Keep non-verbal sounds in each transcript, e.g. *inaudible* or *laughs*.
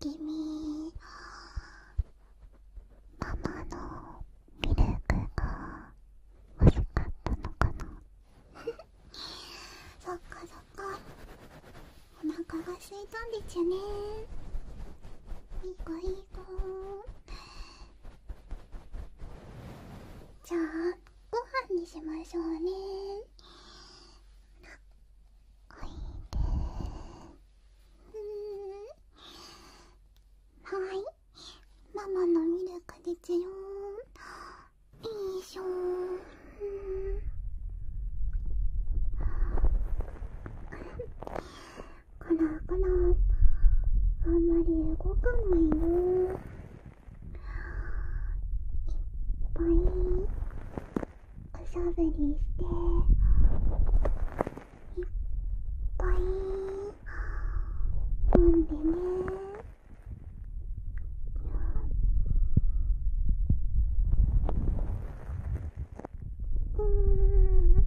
君ママのミルクが欲しかったのかな *laughs* そっかそっかお腹が空いたんですよねいい子いい子じゃあご飯にしましょうねはいママのミルクですよいいしょーんこらこらあんまり動かないよいっぱいおしゃぶりしていっぱい飲んでねうん。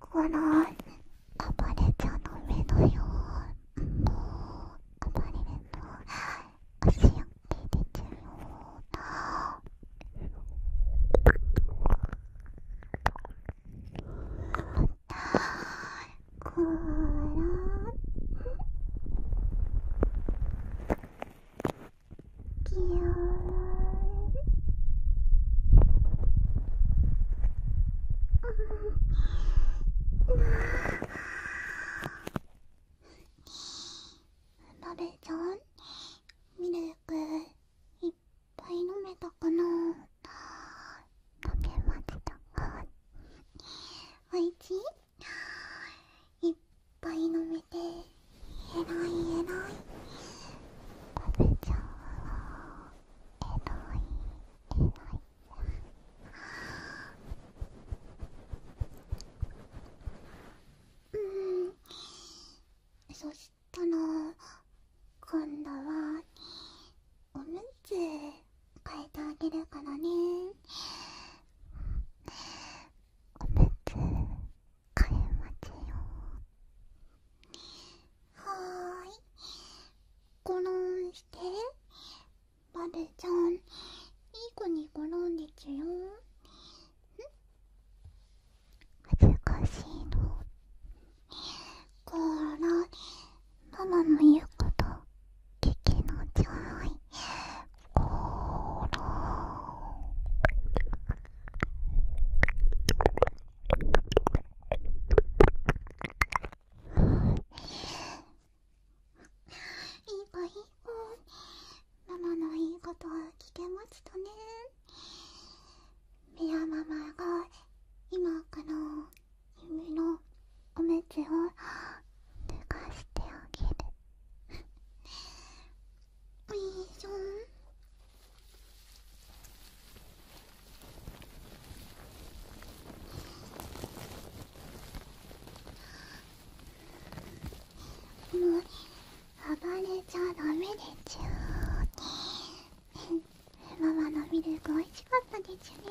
このあばれちゃんの目のようなあばれるの足やけ出ちゃうような。こらきよラベちゃんミルクいっぱい飲めたかな溶けましたかおいしいいっぱい飲めてえらいえらい食べちゃうえらいえらいうんそしたら今度はおむつ変えてあげるからねおむつ替えますよはーいゴロンしてバルちゃんいい子にゴロンですよん難しいのこらママの言うこと聞きのちょいコロいい子いい子ママのいいことは聞けましたねミラママが今から夢のおめを脱がしてあげるおしょもう暴れちゃダメでちゅママのミルクおいしかったでちゅね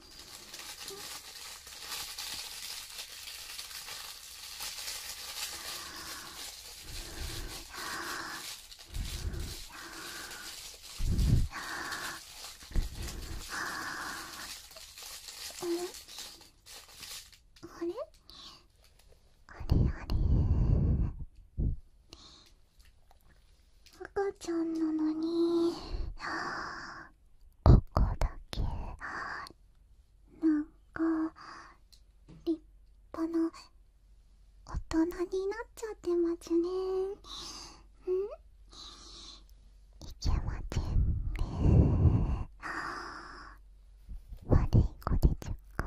あれあれあれ赤ちゃんなのに。ここだけなんか立派な大人になっちゃってますねんいけませんね悪い子でちゅか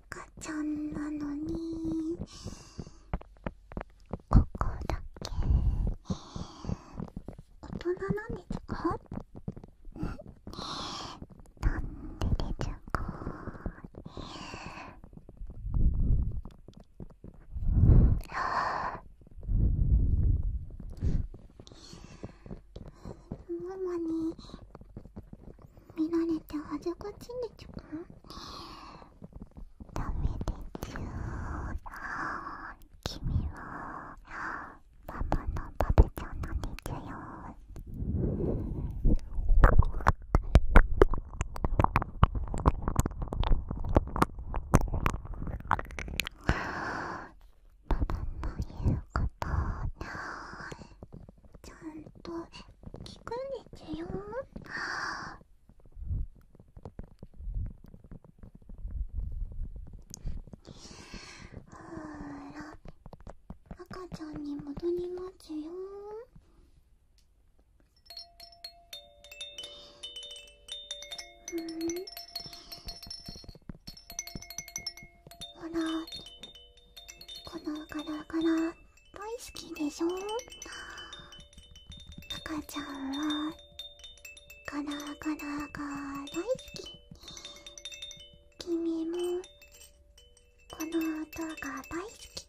赤ちゃんなのにここだけ大人なんですかなんででしょうかママに見られて恥ずかしいでちゅかダメでちゅ君はパパのパペちゃんなんでよパパの言うことない。ちゃんと聞くんですよほら赤ちゃんに戻りますようんほらこのガラガラ大好きでしょ赤ちゃんはガラガラが大好き君もこの音が大好き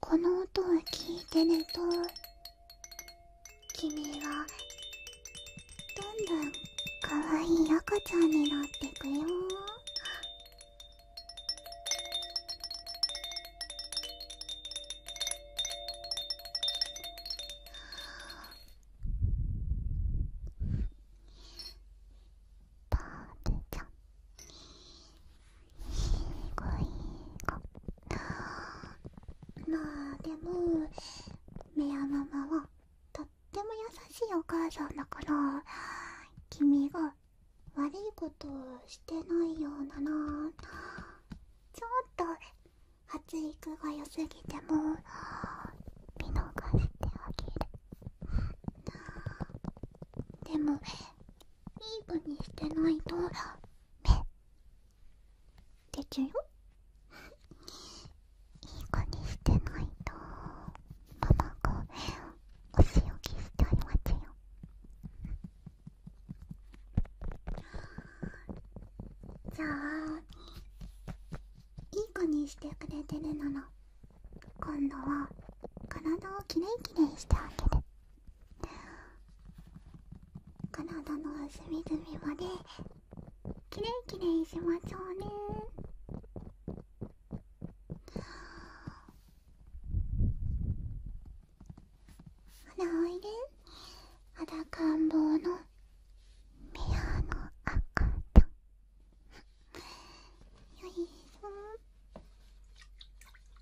この音を聞いてると君はどんどんかわいい赤ちゃんになってくよーパールちゃんすごい子まあでもメアママはとっても優しいお母さんだから君が悪いことをしてないようななちょっと発育が良すぎても見逃してあげるでもいい子にしてないと目でちゅよいい子にしてないとママがお仕置きしてあげますよじゃあいい子にしてくれてるなら今度は体をきれいきれいしてあげる体の隅々まできれいきれいしましょうね鼻を入れ肌感坊のミアの赤と…よいしょ冷たくないでちょこ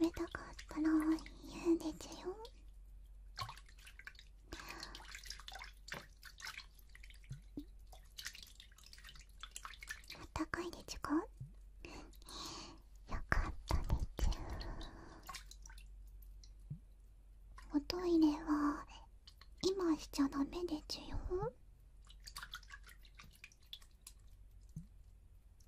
冷たかったら言うんですよあったかいでちゅかよかったでちゅおトイレは今しちゃダメでちゅよ